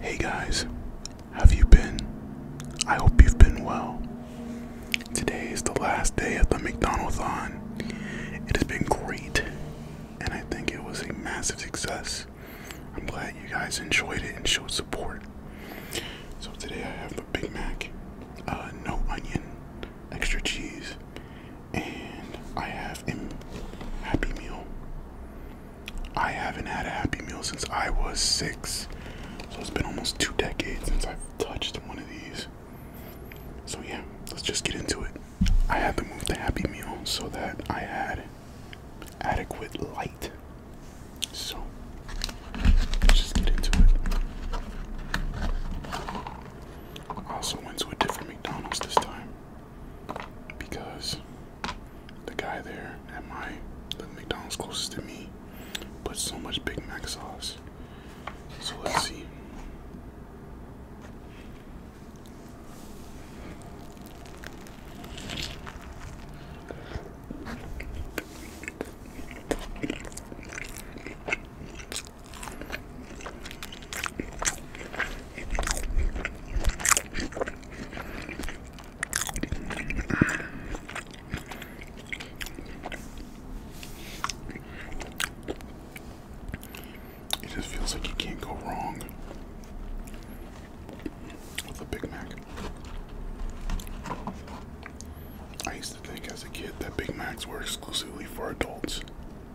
Hey guys, have you been? I hope you've been well. Today is the last day of the McDonald's-on. It has been great, and I think it was a massive success. I'm glad you guys enjoyed it and showed support. So today I have a Big Mac, uh, no onion, extra cheese, and I have a Happy Meal. I haven't had a Happy Meal since I was six. So it's been almost two decades since I've touched one of these. So yeah, let's just get into it. I had to move to Happy Meal so that I had adequate light. So let's just get into it. I also went to a different McDonald's this time because the guy there at my the McDonald's closest to me put so much Big Mac sauce. So let's see. It just feels like you can't go wrong with a Big Mac. I used to think as a kid that Big Macs were exclusively for adults.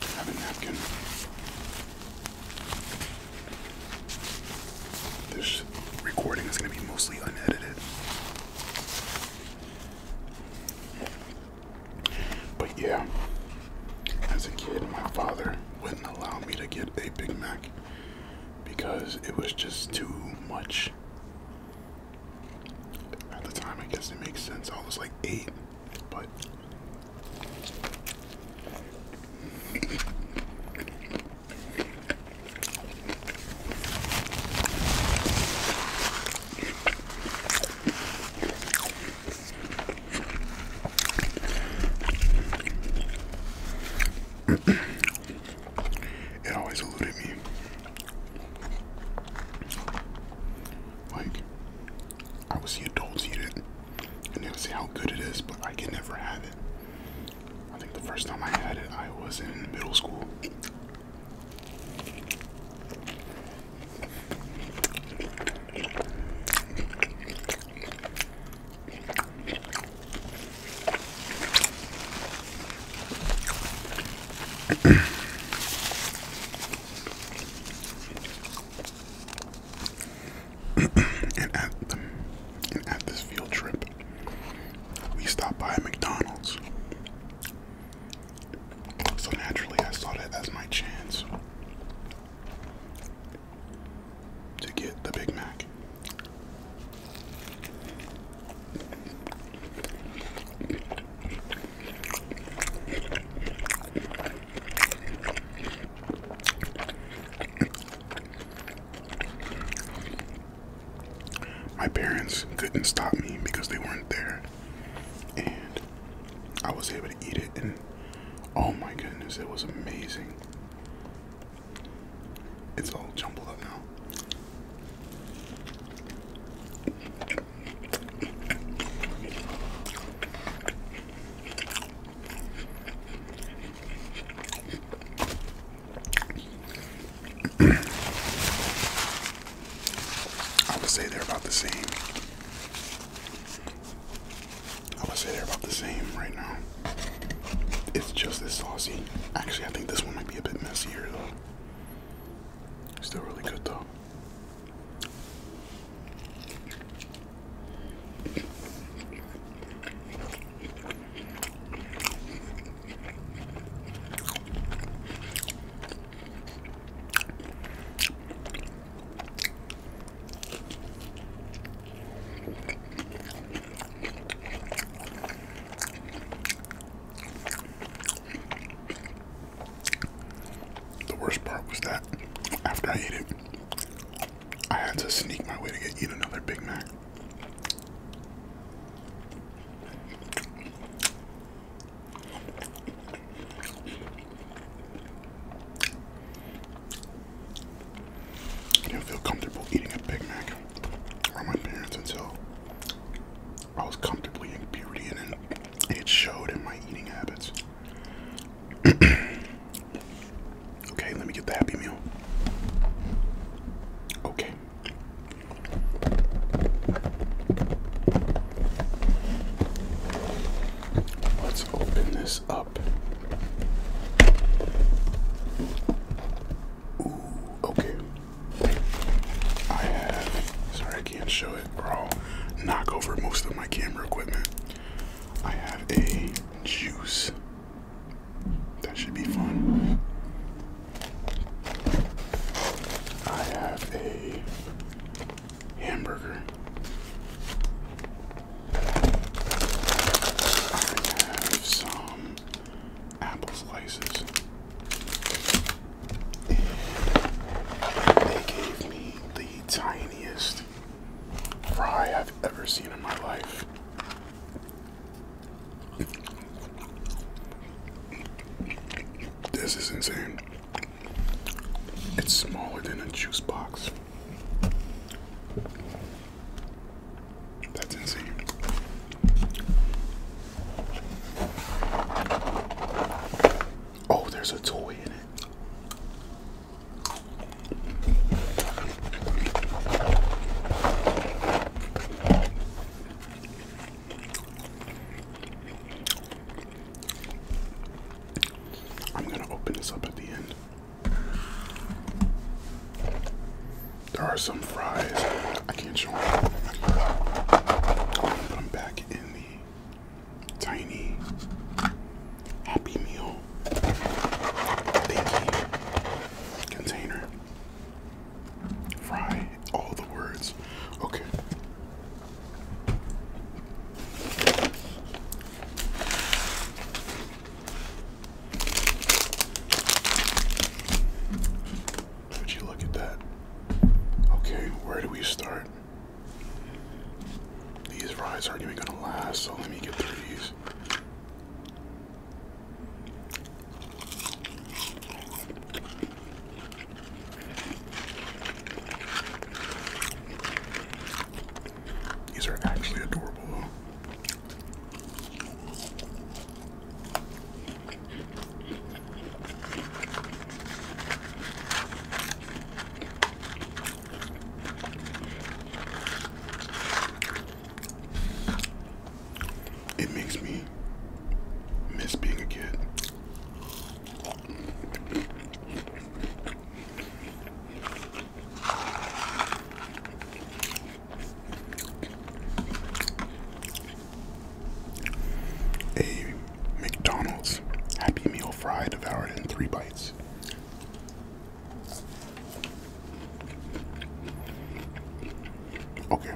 Have a napkin. This recording is going to be mostly unedited. But yeah, as a kid, my father wouldn't allow me to get a Big Mac because it was just too much. At the time, I guess it makes sense. I was like eight, but it always eluded me. Like, I would see adults eat it and they would say how good it is, but I can never have it. I think the first time I had it, I was in middle school and at and at this field trip, we stopped by McDonald's. So naturally, I saw that as my chance to get the Big Mac. My parents couldn't stop me because they weren't there, and I was able to eat it. And oh my goodness, it was amazing! It's all jumbled up now. I would say they're about the same. I would say they're about the same right now. It's just this saucy. Actually, I think this one might be a bit messier though. Still really good though. The worst part was that after I ate it, I had to sneak my way to get eat another Big Mac. I didn't feel comfortable eating a Big Mac on my parents until I was comfortably in puberty and it showed in my eating habits. okay, let me get the happy meal. Okay. Let's open this up. okay. I have, sorry I can't show it, bro. I'll knock over most of my camera equipment. I have a juice. That should be fun. I have a hamburger. I have some apple slices. they gave me the tiniest fry I've ever seen in my life. This is insane. It's smaller than a juice box. That's insane. Oh, there's a toy in it. I'm going to open this up at the end. There are some fries. I can't show them. Put them back in the tiny Happy Meal container. Fry all the words. Okay. Would you look at that? Okay, where do we start? These rides aren't even gonna last, so let me get through these. These are actually adorable. Though. It makes me miss being a kid. A McDonald's Happy Meal fry devoured in three bites. Okay.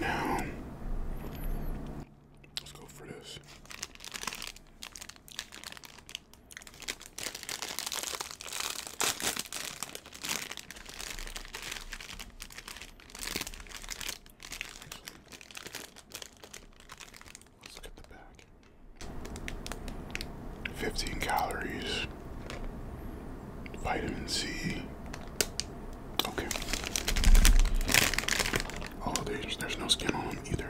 Now Let's go for this. Let's look the back. Fifteen calories, vitamin C, Okay. Oh, there's, there's no skin on either.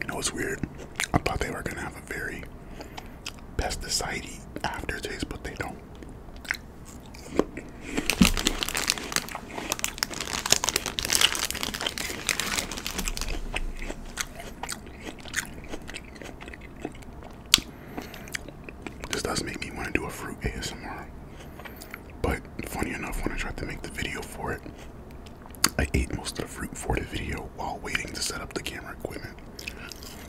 You know it's weird. I thought they were gonna have a very pesticide aftertaste, but they don't. This does make me want to do a fruit ASMR. But funny enough, when I tried to make the video for it, I ate most of the fruit for the video while waiting to set up the camera equipment.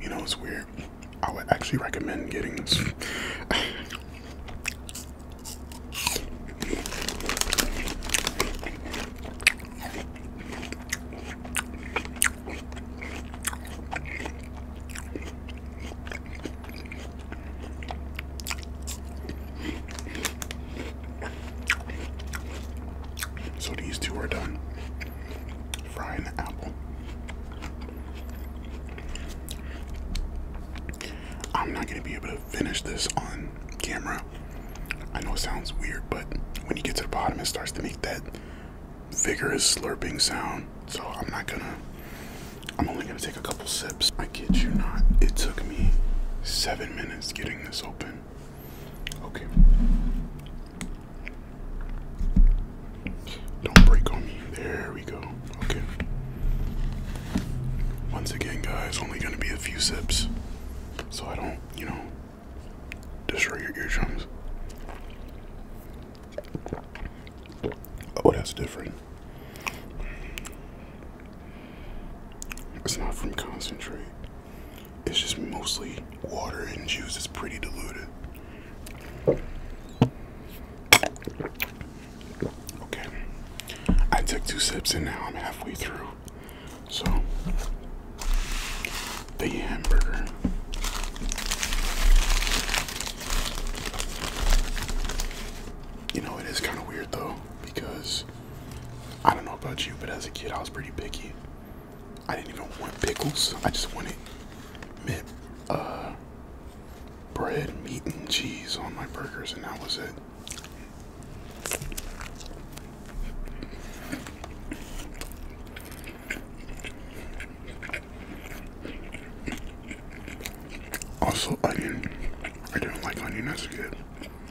You know, it's weird. I would actually recommend getting this. So these two are done. Frying the apple. I'm not going to be able to finish this on camera. I know it sounds weird, but when you get to the bottom, it starts to make that vigorous slurping sound. So I'm not gonna, I'm only gonna take a couple sips. I kid you not, it took me seven minutes getting this open. Okay. Don't break on me. There we go. Okay. Once again, guys, only going to be a few sips. So I don't, you know, destroy your eardrums. Oh, that's different. It's not from concentrate. It's just mostly water and juice. It's pretty diluted. Okay. I took two sips and now I'm halfway through. So, the hamburger. You know, it is kind of weird though, because I don't know about you, but as a kid, I was pretty picky. I didn't even want pickles. I just wanted uh, bread, meat, and cheese on my burgers, and that was it. Also, onion. I didn't like onion. as a kid.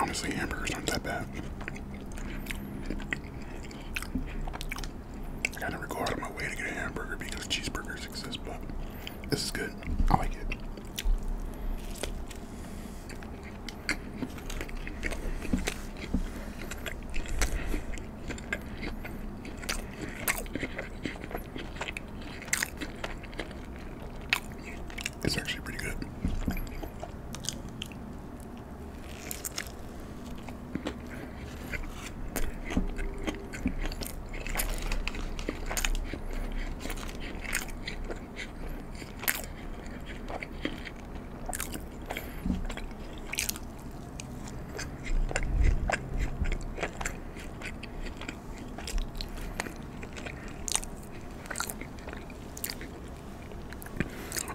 Honestly, hamburgers aren't that bad. I gotta never my way to get a hamburger because cheeseburgers exist, but this is good. I like it. It's actually pretty good.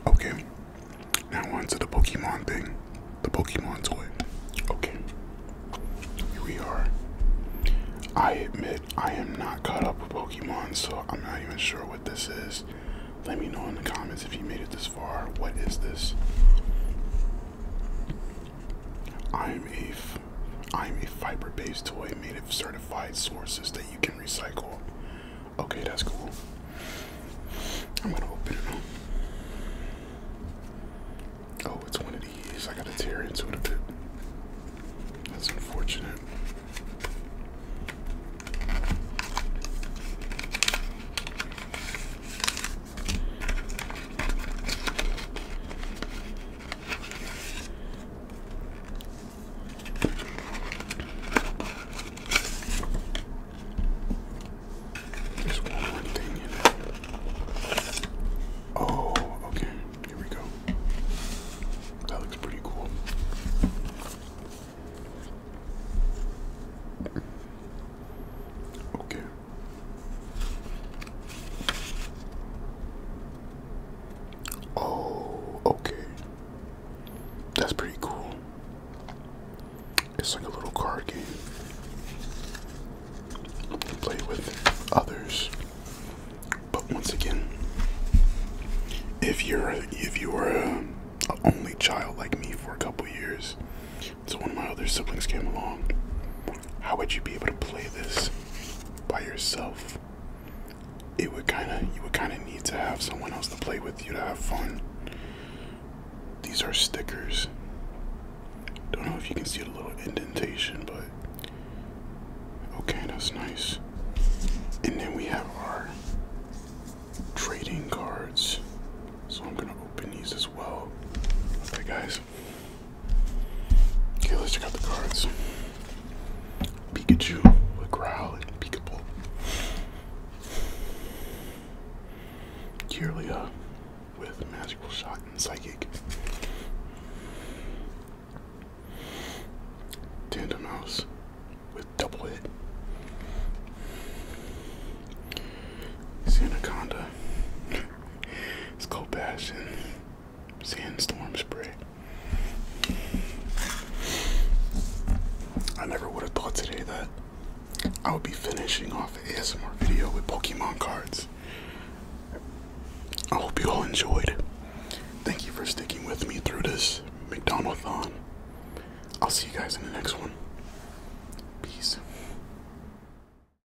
Okay, now on the Pokemon thing, the Pokemon toy. Okay, here we are. I admit I am not caught up with Pokemon, so I'm not even sure what this is. Let me know in the comments if you made it this far. What is this? I'm a Eve. I'm a fiber-based toy made of certified sources that you can recycle. Okay, that's cool. I'm gonna open it up. Oh, it's one of these. I gotta tear into it a bit. That's unfortunate. Just one more thing in it. Oh, okay. Here we go. That looks pretty cool. Okay. Oh, okay. That's pretty cool. It's like a little card game. You play with others. But once again, if you're if you were uh, a, only child like me for a couple years, so of my other siblings came along, how would you be able to play this by yourself? It would kind of you would kind of need to have someone else to play with you to have fun. These are stickers. Don't know if you can see the little indentation, but okay, that's nice. And then we have our trading cards. So I'm gonna open these as well. Okay, guys. Okay, let's check out the cards. Pikachu, a growl, and Peekable. Kirlia with magical shot and psychic. Tandemouse with double hit. Xanaconda. it's called Bastion. Sandstorm spray. I never would have thought today that I would be finishing off an ASMR video with Pokemon cards. I hope you all enjoyed. Thank you for sticking with me through this McDonaldthon. I'll see you guys in the next one. Peace.